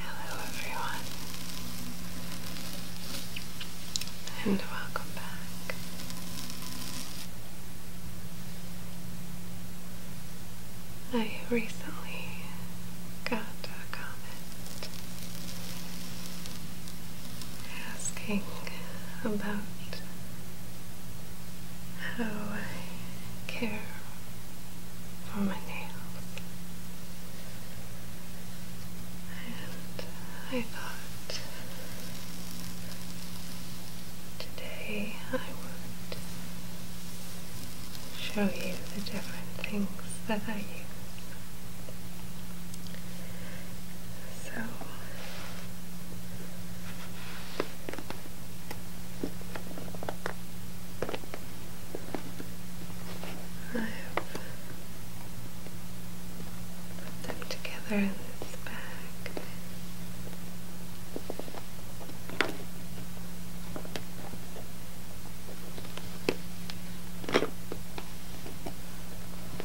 Hello, everyone, and welcome back. I recently got a comment asking about how I care for my nails. And I thought today I would show you the different things that I use so I put them together in this bag. And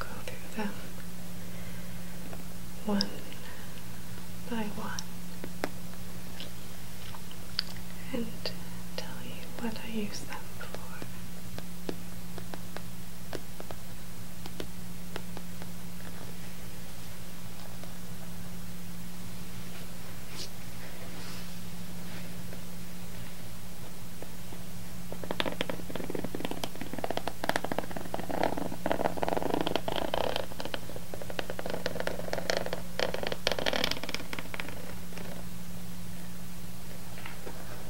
go through them one by one. And tell you what I use them for.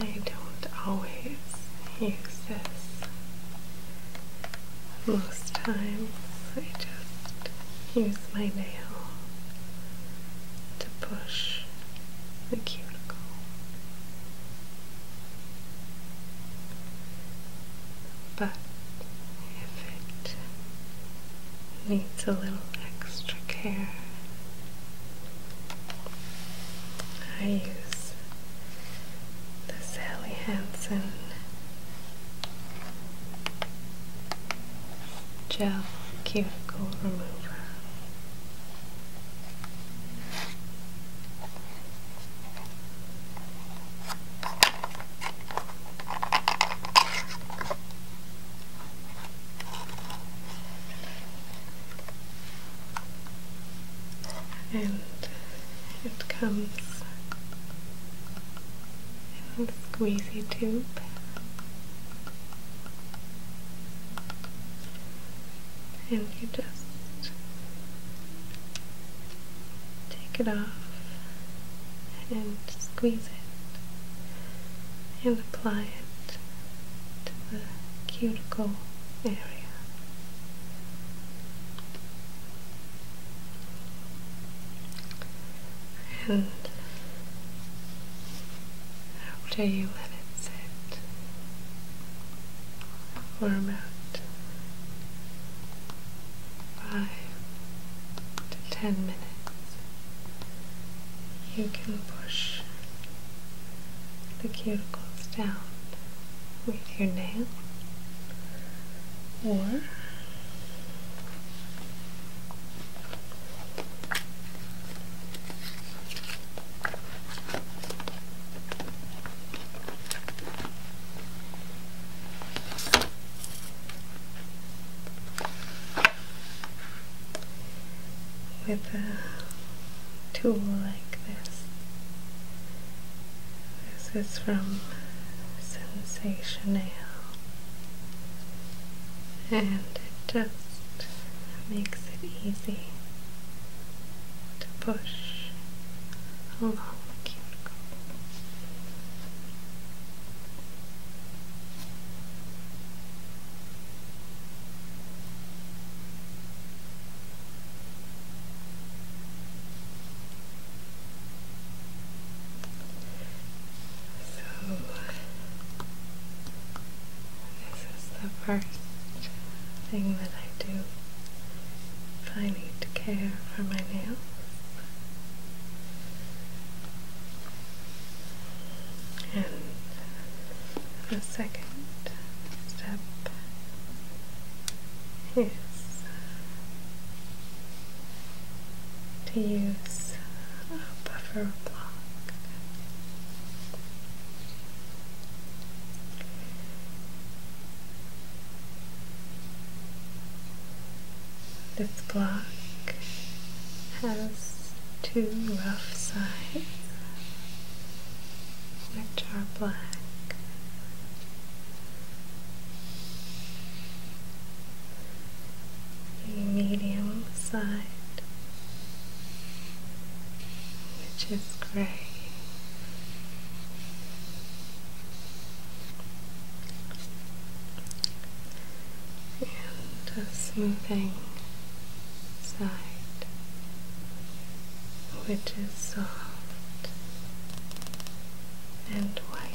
I don't always use this. Most times I just use my nail to push the cuticle. But if it needs a little extra care. I use the Sally Hansen gel cuticle remover and it comes in a squeezy tube and you just take it off and squeeze it and apply it to the cuticle area. And after you let it sit for about five to ten minutes, you can push the cuticles down with your nail or with a tool like this. This is from Sensational, and it just makes it easy to push along the cuticle. So, this is the first thing that I do if I need to care for my nails. And the second step is to use a buffer block. This block has two rough sides, which are black. The medium side, which is gray and a smoothing side which is soft and white.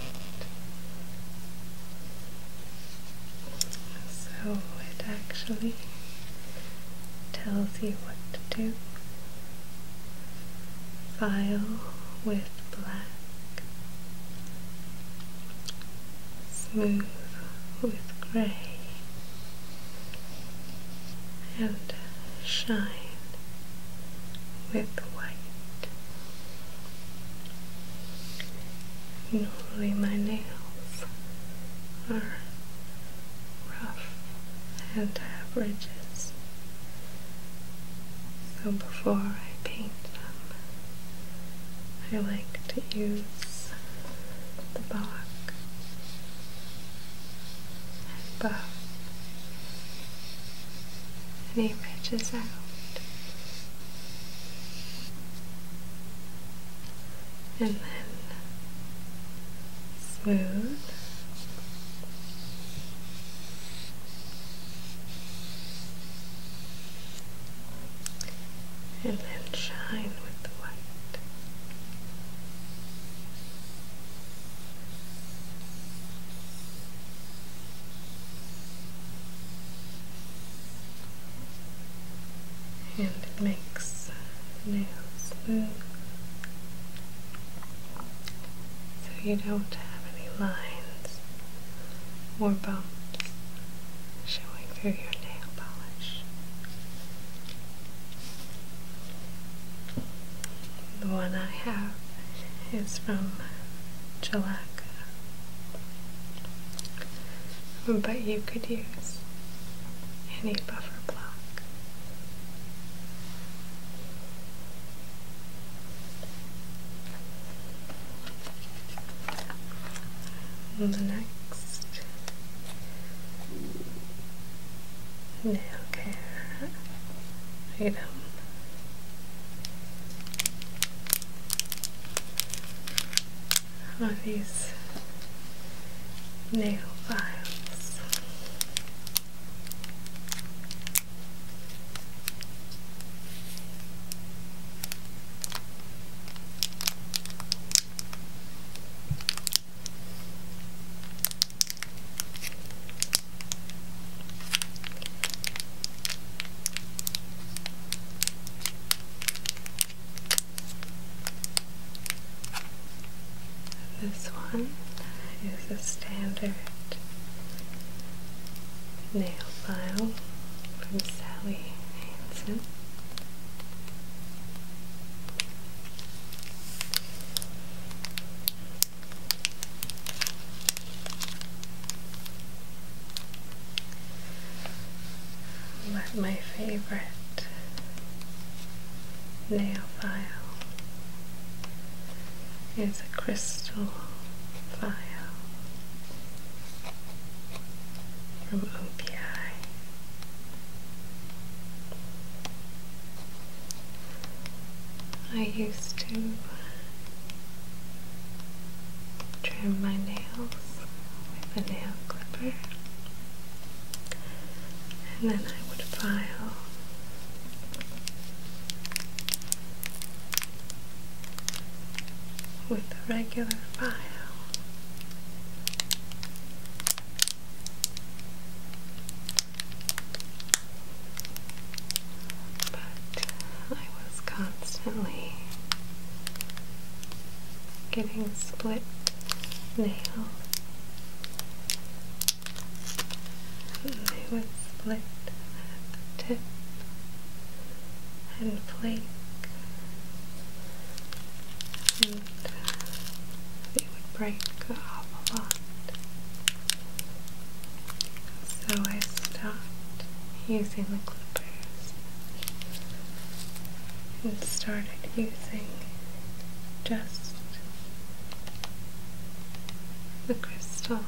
So it actually tells you what to do. File with black smooth with grey and shine with white. Normally my nails are rough and have ridges. So before I paint I like to use the box and buff any ridges out. And then smooth and then shine with the white. And it makes the nails smooth so you don't have any lines more bones showing through your nail polish. The one I have is from Gelaca, but you could use any buffer block the next nail care item. Are these nail files? This one is a standard nail file from Sally Hansen. my favorite nail file is a crystal vial from OPI. I used to trim my nails with a nail clipper and then I would file with a regular file. But I was constantly getting split nails and they would split at the tip and flake and they would break off a lot. So I stopped using the clippers and started using just the crystal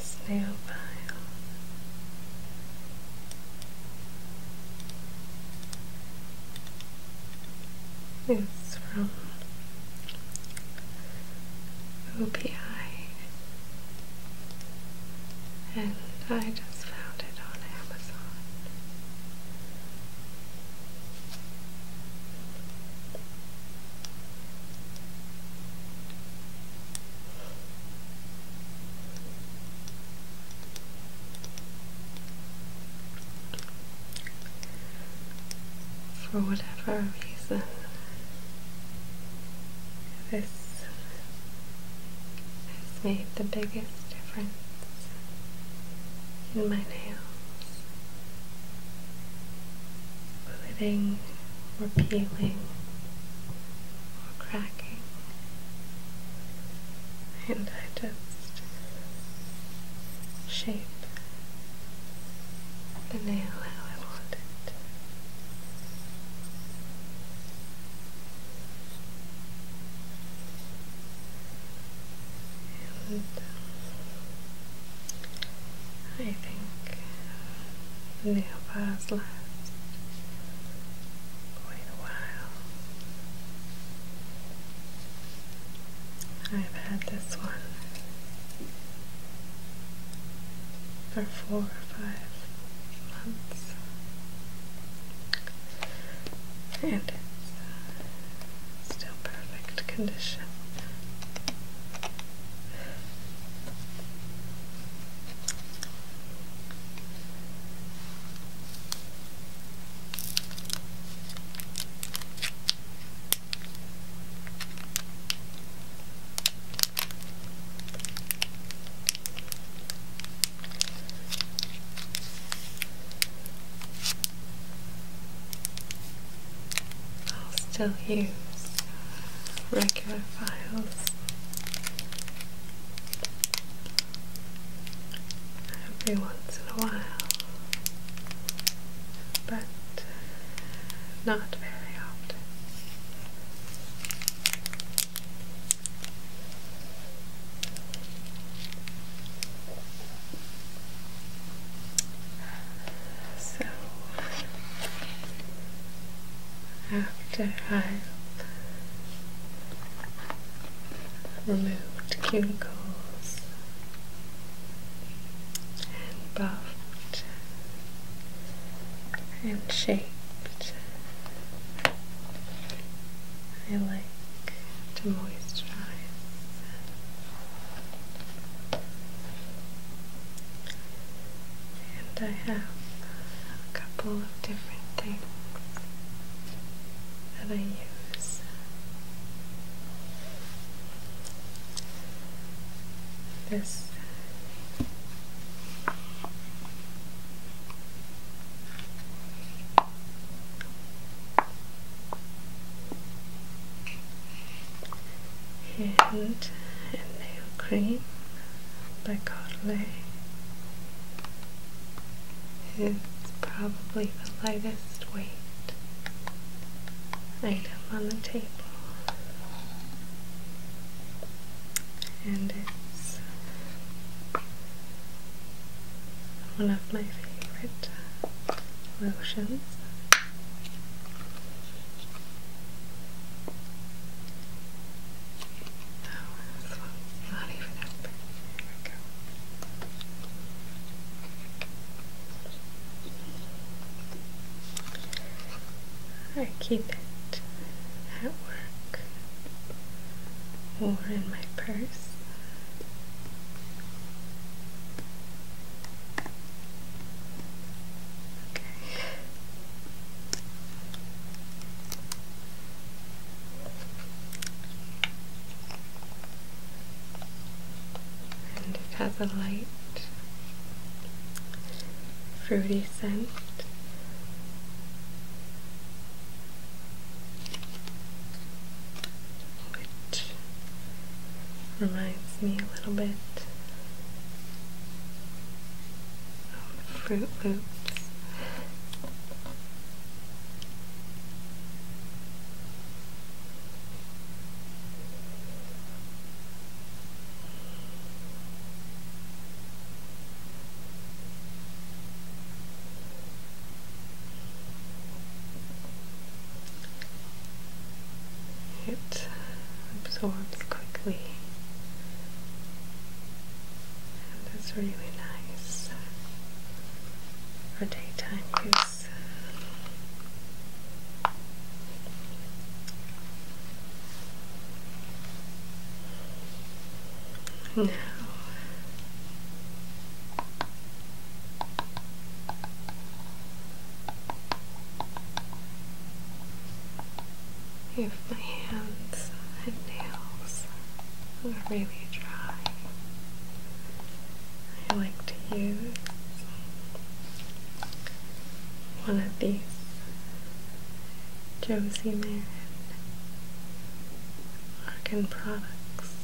Snail pile. It's from OPI, and I just found it on Amazon for whatever reason, this has made the biggest difference in my nails. Quitting or peeling or cracking. And I just shape the nail I want it. I think the uh, nail bars last quite a while. I've had this one for four or five months. And it's uh, still perfect condition. I'll still use regular files every once in a while but uh, not very often. So, after i removed cuticles and buffed and shaped. I like to moisturize, and I have a couple of different things that I use this and nail cream by Carly. It's probably the lightest weight item on the table and it's one of my favorite uh, lotions. Oh, not even up. There we go. I keep it at work or in my purse and it has a light fruity scent. Which reminds me a little bit of Fruit Loops. It absorbs quickly and it's really nice for daytime use this. Now, if my hands and nails are really dry, I like to use one of these Josie Marin Argan products.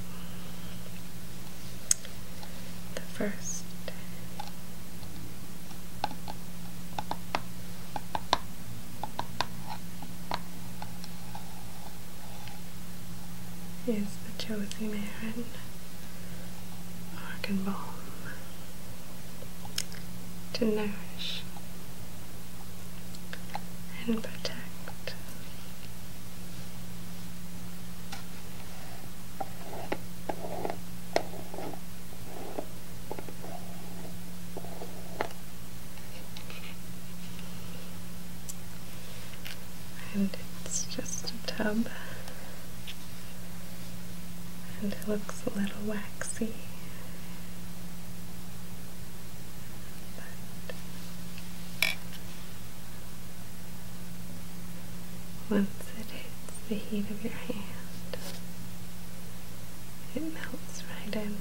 The first is the Josie Marin Ark and balm to nourish and protect and it's just a tub and it looks a little waxy but once it hits the heat of your hand it melts right in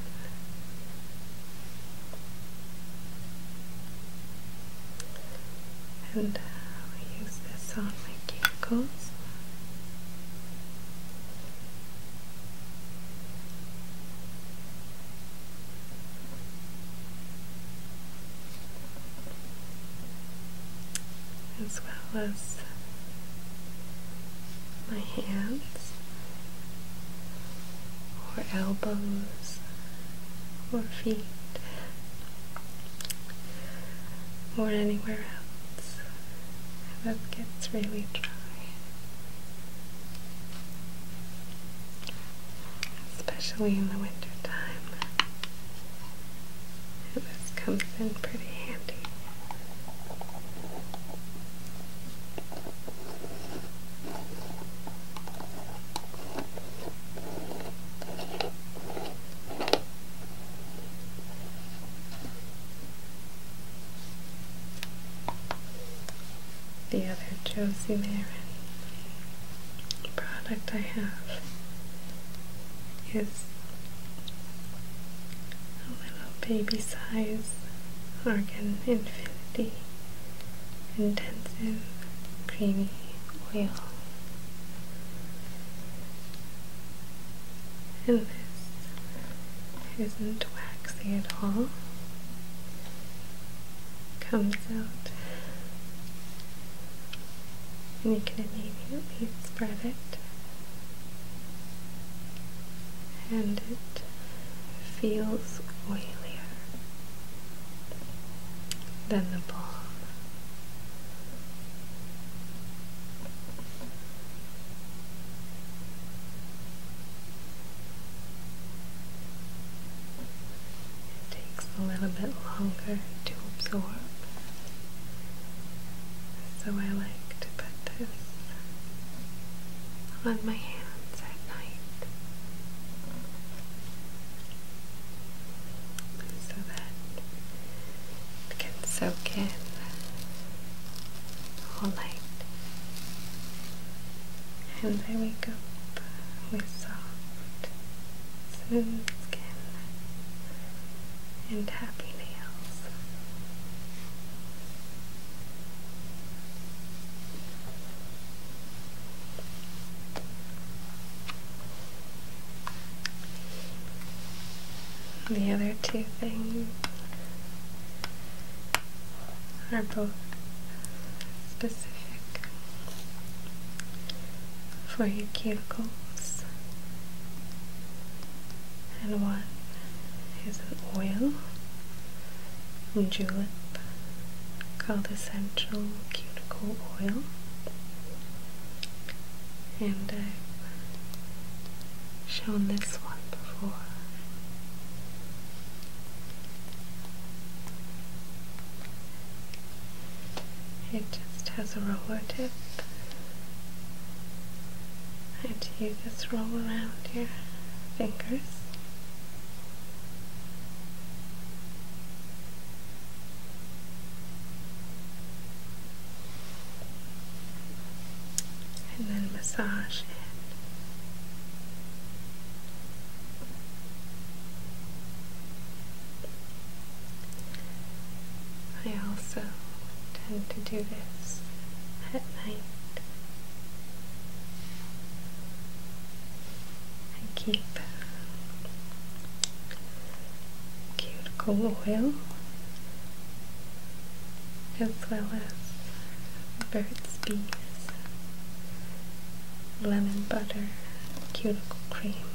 and i use this on my cuticles. as well as my hands or elbows or feet or anywhere else It gets really dry. Especially in the winter time. And this comes in pretty handy. The other Josie Marin product I have is a little baby size Argan Infinity intensive creamy oil. And this isn't waxy at all. Comes out, and you can immediately spread it, and it feels oilier then the ball. It takes a little bit longer to absorb, so I like to put this on my hands at night so that it can soak in all night. And I wake up with soft, smooth skin and happy nails. The other two things are both specific for your cuticles, and one is an oil, jewelry, lip called Essential Cuticle Oil, and I've shown this one before. It just has a roller tip. And you just roll around your fingers and then massage it. I also tend to do this at night. I keep cuticle oil as well as bird's bees, lemon butter, cuticle cream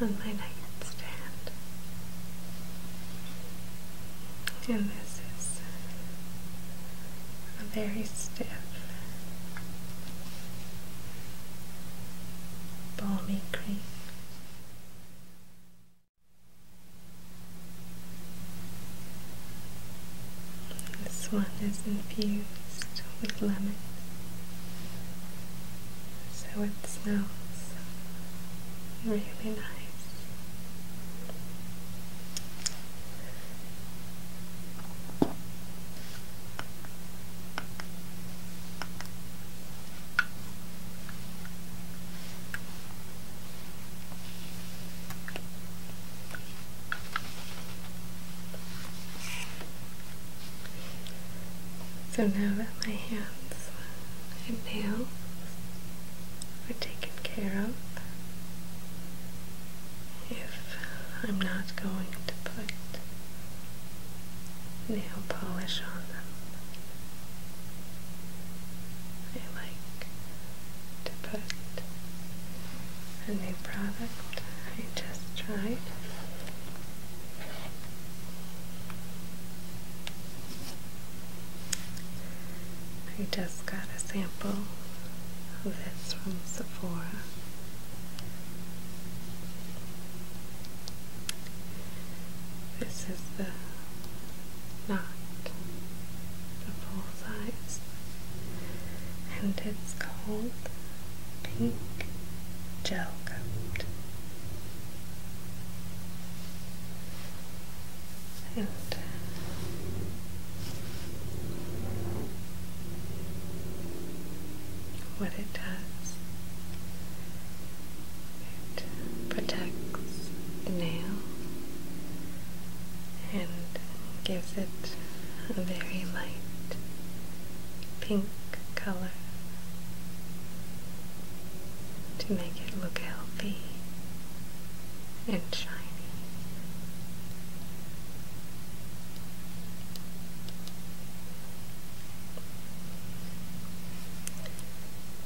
on my nightstand. And this is a very stiff, balmy cream. This one is infused with lemon, so it smells really nice. So now that my hands and nails are taken care of if I'm not going to put nail polish on them. I like to put a new product I just tried. I just got a sample Oh, this from Sephora. This is the knot, the full size, and it's called Pink Gel Coat and what it does. It protects the nail and gives it a very light pink color to make it look healthy and shiny.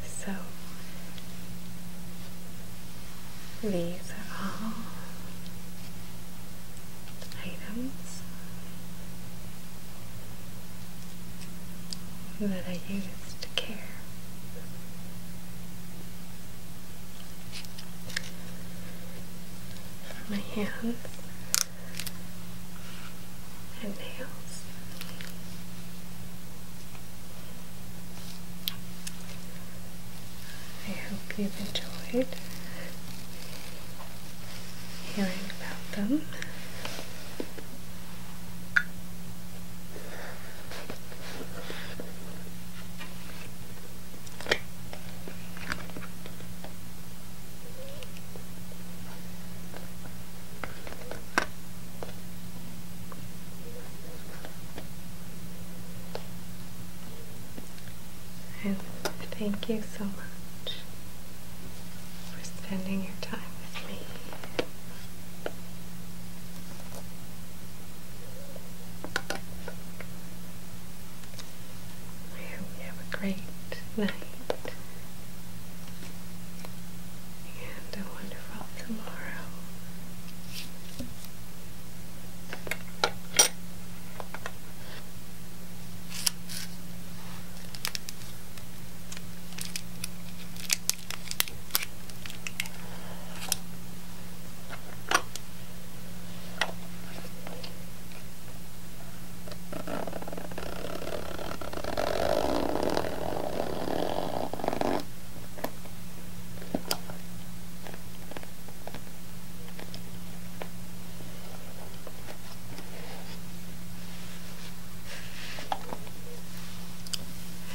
So these are all items that I used care. my hands and nails. I hope you've enjoyed hearing about them. And thank you so much for spending your time with me. We have a great night and a wonderful tomorrow.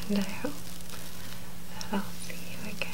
And I hope I'll see you again.